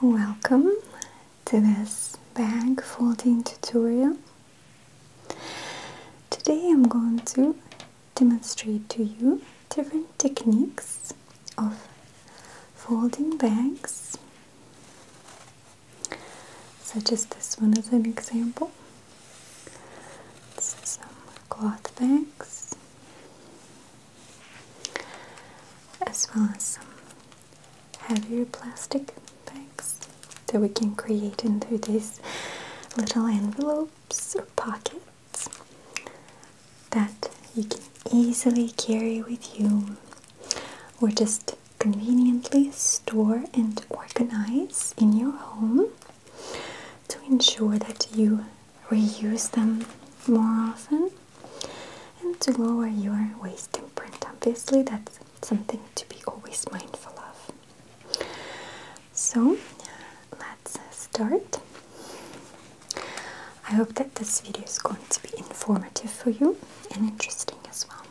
Welcome to this bag folding tutorial. Today I'm going to demonstrate to you different techniques of folding bags such as this one as an example. some cloth bags as well as some heavier plastic bags that we can create into these little envelopes or pockets that you can easily carry with you or just conveniently store and organize in your home to ensure that you reuse them more often and to lower your waste print. Obviously, that's something to be always mindful of. So, let's start. I hope that this video is going to be informative for you and interesting as well.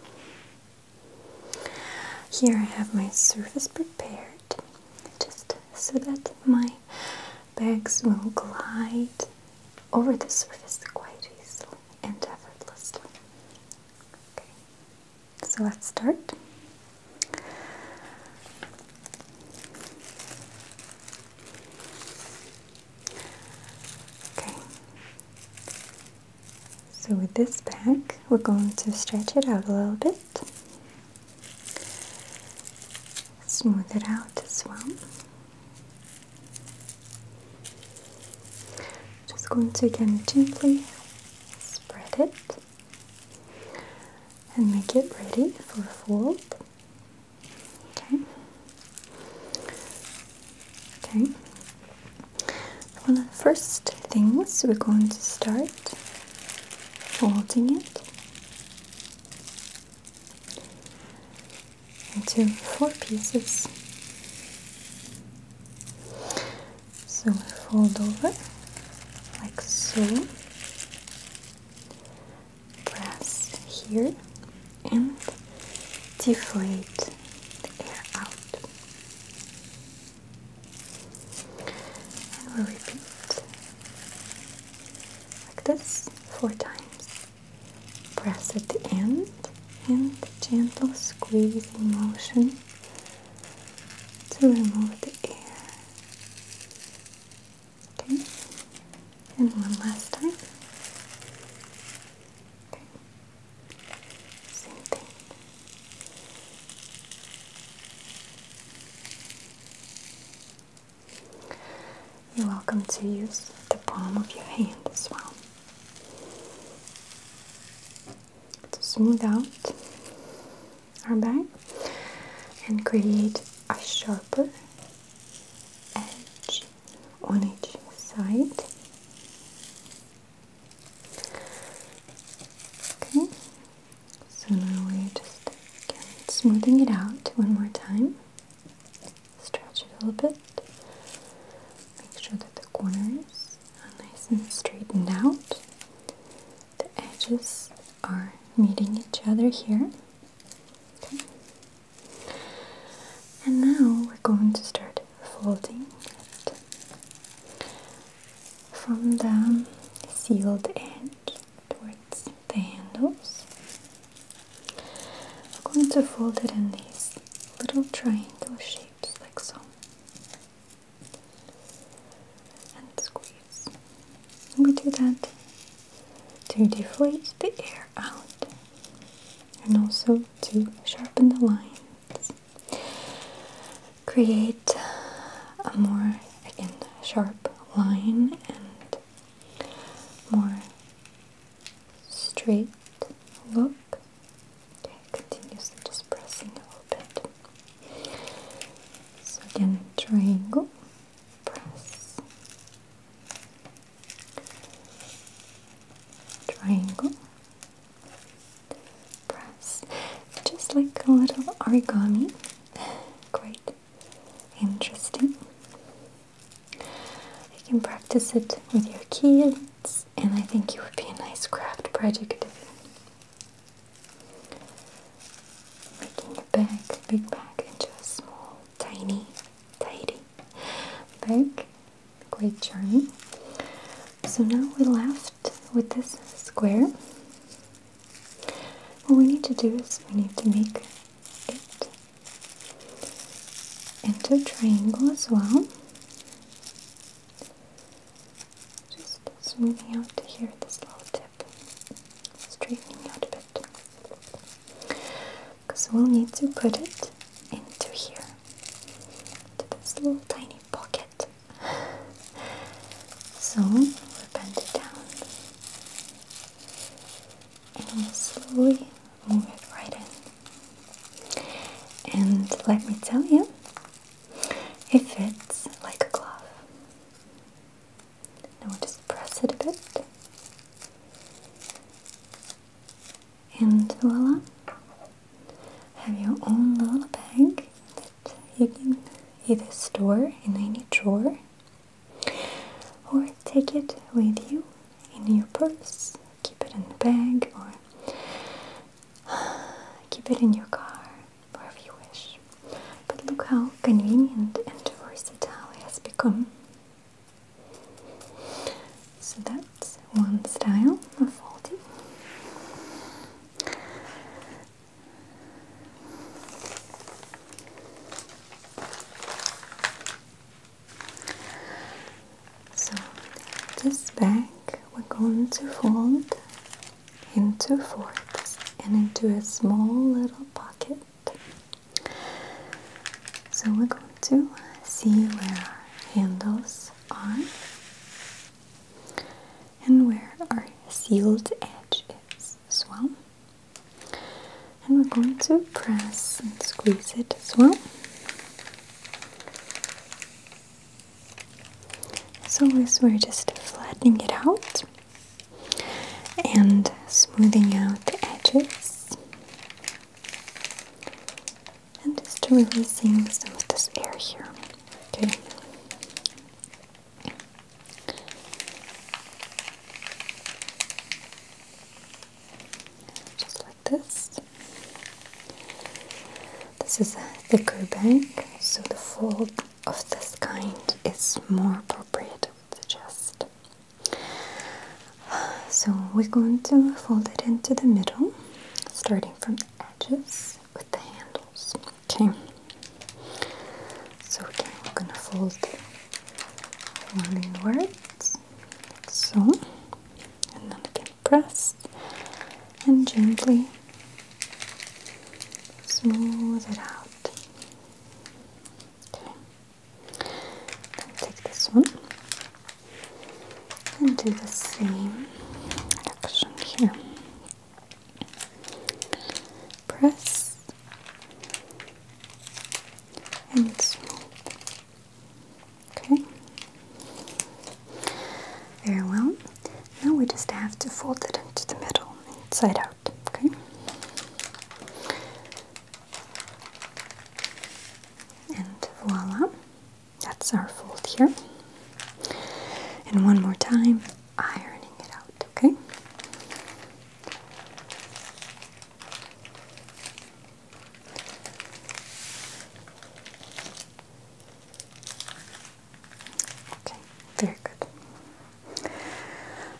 Here I have my surface prepared just so that my bags will glide over the surface quite easily and effortlessly. Okay. So let's start. Okay. So with this bag, we're going to stretch it out a little bit. Smooth it out as well. Just going to again gently spread it and make it ready for fold. Okay. Okay. One of the first things we're going to start folding it into four pieces. So fold over like so, press here, and deflate the air out. And repeat like this four times. Press at the end and gentle squeezing motion to remove the air. Okay, and one last time. Okay, same thing. You're welcome to use the palm of your hand as well to smooth out our bag and create a sharper edge on each side. Okay, so now we're just smoothing it out one more time. Stretch it a little bit. Make sure that the corners are nice and straightened out. The edges are meeting each other here. Okay. And now we're going to start folding it from the sealed end towards the handles. I'm going to fold it in these little triangle shapes like so. And squeeze. we do that to deflate the air out and also to sharpen the lines create a more again sharp line and more straight look. Okay, continuously just pressing a little bit. So again, triangle, press, triangle, press, just like a little origami. Quite interesting. You can practice it with your kids, and I think it would be a nice craft project. Making a bag, big bag, into a small, tiny, tidy bag. Quite charming. So now we're left with this square. What we need to do is we need to make it into a triangle as well. Just smoothing out to here this little tip, straightening out a bit. Because we'll need to put it into here, to this little tiny pocket. So we'll bend it down and slowly move it right in. And let me tell you, it fits like a glove. Now we just press it a bit. And voila, have your own little bag you can either store in any drawer or take it with you in your purse, keep it in the bag, or keep it in your car, wherever you wish. But look how convenient and versatile it has become. So that's one style of folding. So this bag we're going to fold into fourths and into a small little pocket. So we're going to see where our handles are and where our sealed edge is as well. And we're going to press and squeeze it as well. As we're just flattening it out and smoothing out the edges and just releasing some of this air here. Okay. Just like this. This is a thicker bag, so the fold of this kind is more appropriate, I suggest. So we're going to fold it into the middle, starting from the edges with the handles. Okay. So again, we're gonna fold one inwards, like so, and then again press and gently smooth it out. Okay. Then take this one and do the same action here press and smooth. Okay. Very well. Now we just have to fold it into the middle, inside out. Okay. And voila. That's our fold here. And one more time, ironing it out, okay? Okay, very good.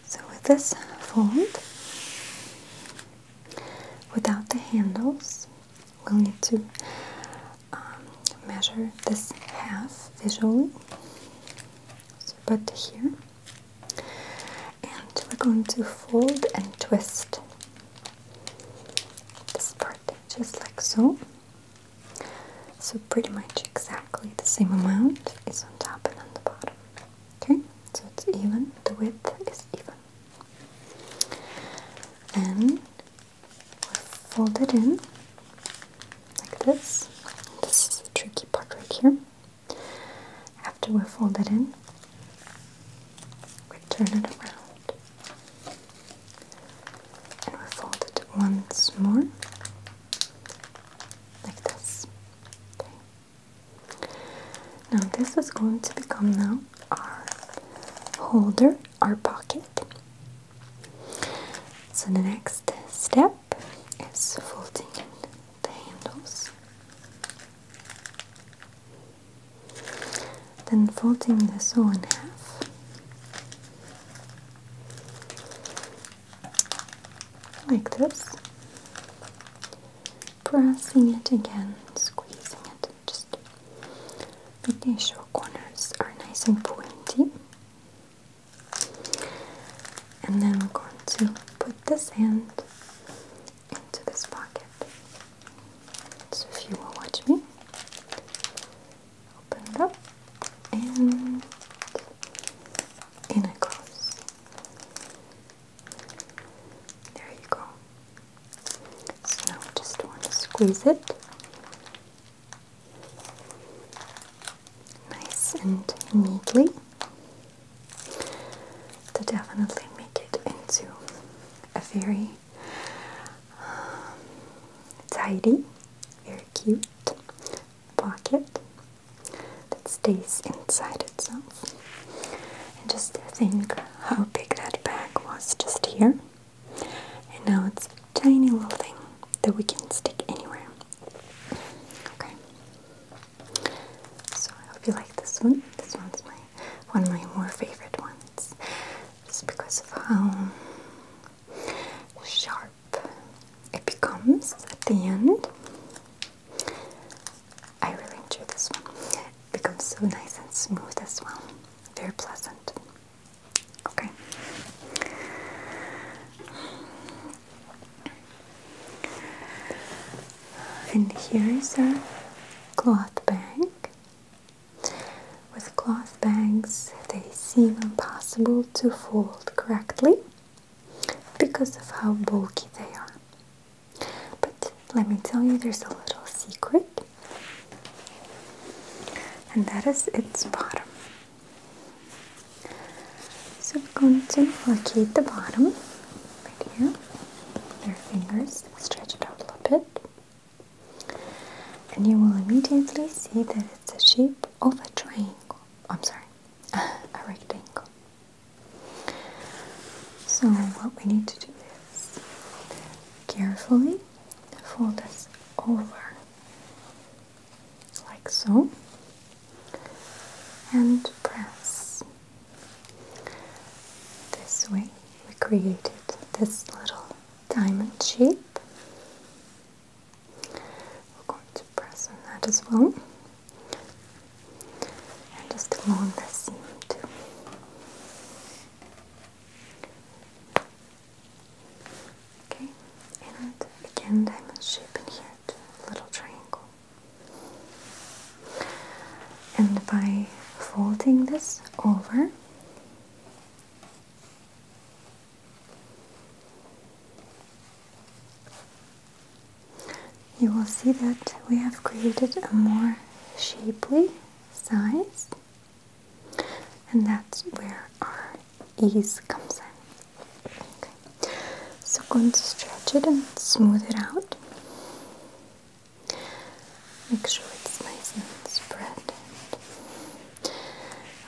So with this fold, without the handles, we'll need to um, measure this half visually. So put here, and we're going to fold and twist this part just like so. So pretty much exactly the same amount is on top and on the bottom. Okay, so it's even. The width is even. Then we fold it in like this. This is the tricky part right here. After we fold it in, we turn it around and we fold it once more like this. Okay. Now this is going to become now our holder, our pocket. So the next step is folding the handles. Then folding the sole in half. Like this. Pressing it again, squeezing it, Make sure corners are nice and pointy. And then we're going to put this end into this pocket. So if you will watch me, open it up and in it goes. There you go. So now we just want to squeeze it nice and neatly to definitely make it into a very um, tidy, very cute pocket that stays inside itself. And just think how big that bag was just here. And now it's a tiny little thing that we can stick anywhere. Okay. So I hope you like this one. This one's my one of my more favorite ones. Just because of how sharp it becomes at the end. I really enjoy this one. It becomes so nice and smooth as well very pleasant. Okay. And here is a cloth bag. With cloth bags, they seem impossible to fold correctly because of how bulky they are. But let me tell you, there's a little secret and that is its bottom. So we're going to locate the bottom right here with our fingers, stretch it out a little bit, and you will immediately see that it's the shape of a triangle. I'm sorry, a rectangle. So, what we need to do is carefully fold this over like so and press this way we created this little diamond shape we're going to press on that as well and just along the seam too Okay, and again, diamond shape in here a little triangle. And by folding this over, you will see that we have created a more shapely size and that's where our ease comes in okay. so going to stretch it and smooth it out make sure it's nice and spread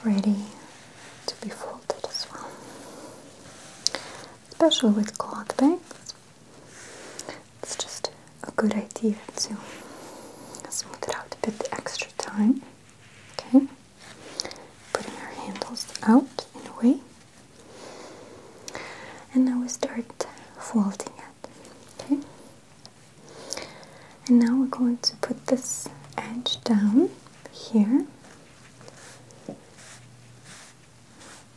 ready to be folded as well especially with cloth bags it's just a good idea to smooth it out a bit extra time. Okay, putting our handles out in a way, and now we start folding it. Okay, and now we're going to put this edge down here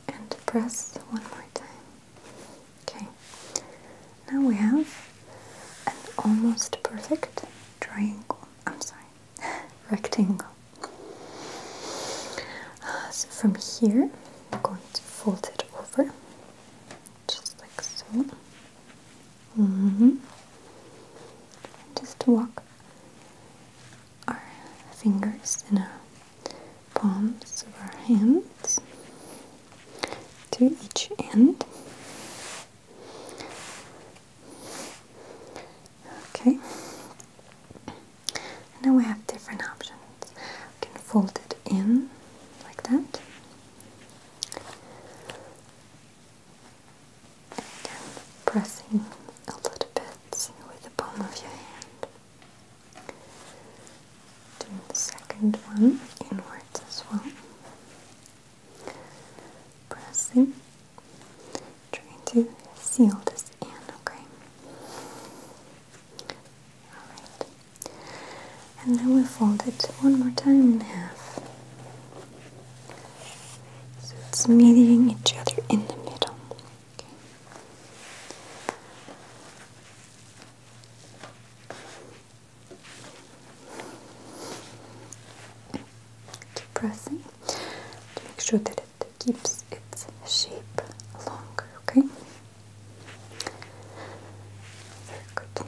and press one more time. Okay, now we have an almost perfect triangle. I'm sorry, rectangle. Uh, so from here, I'm going to fold it over, just like so. Mm -hmm. Just walk our fingers in a palms of our hands to each end. Okay. now we have different options. We can fold it in like that. Again, pressing a little bit with the palm of your hand. Doing the second one inwards as well. Pressing. Trying to seal this in, okay? Alright. And then we fold it one more time in half. So it's meeting each other in the middle. Okay. Depressing make sure that it keeps its shape longer, okay? Very good.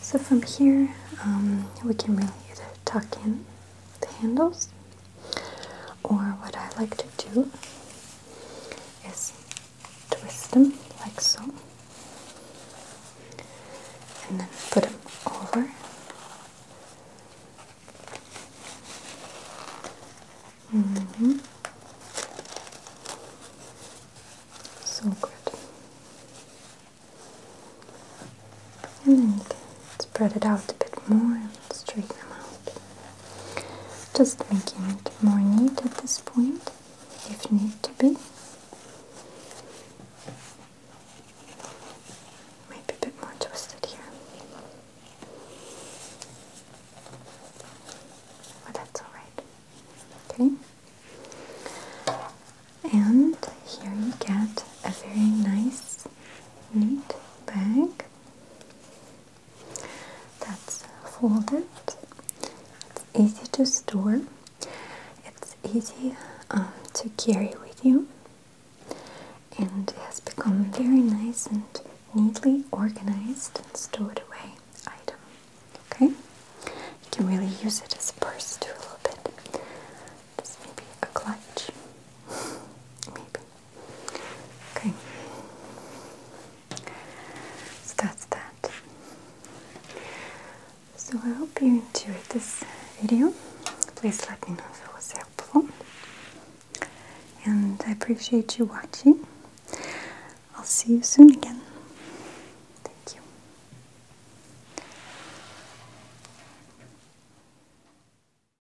So from here, um, we can really either tuck in the handles or what I like to do is twist them like so, and then put them over. Mm-hmm. So good. And then you can spread it out a bit more and straighten them out just making it more neat at this point if need to be maybe a bit more twisted here but that's alright okay and here you get a very nice neat bag that's folded. It's easy to store. It's easy um, to carry with you, and has become very nice and neatly organized and stored away item. Okay, you can really use it as a purse too a little bit. This may be a clutch, maybe. Okay. So that's that. So I hope you enjoyed this video. Please let me know if it was helpful. And I appreciate you watching. I'll see you soon again. Thank you.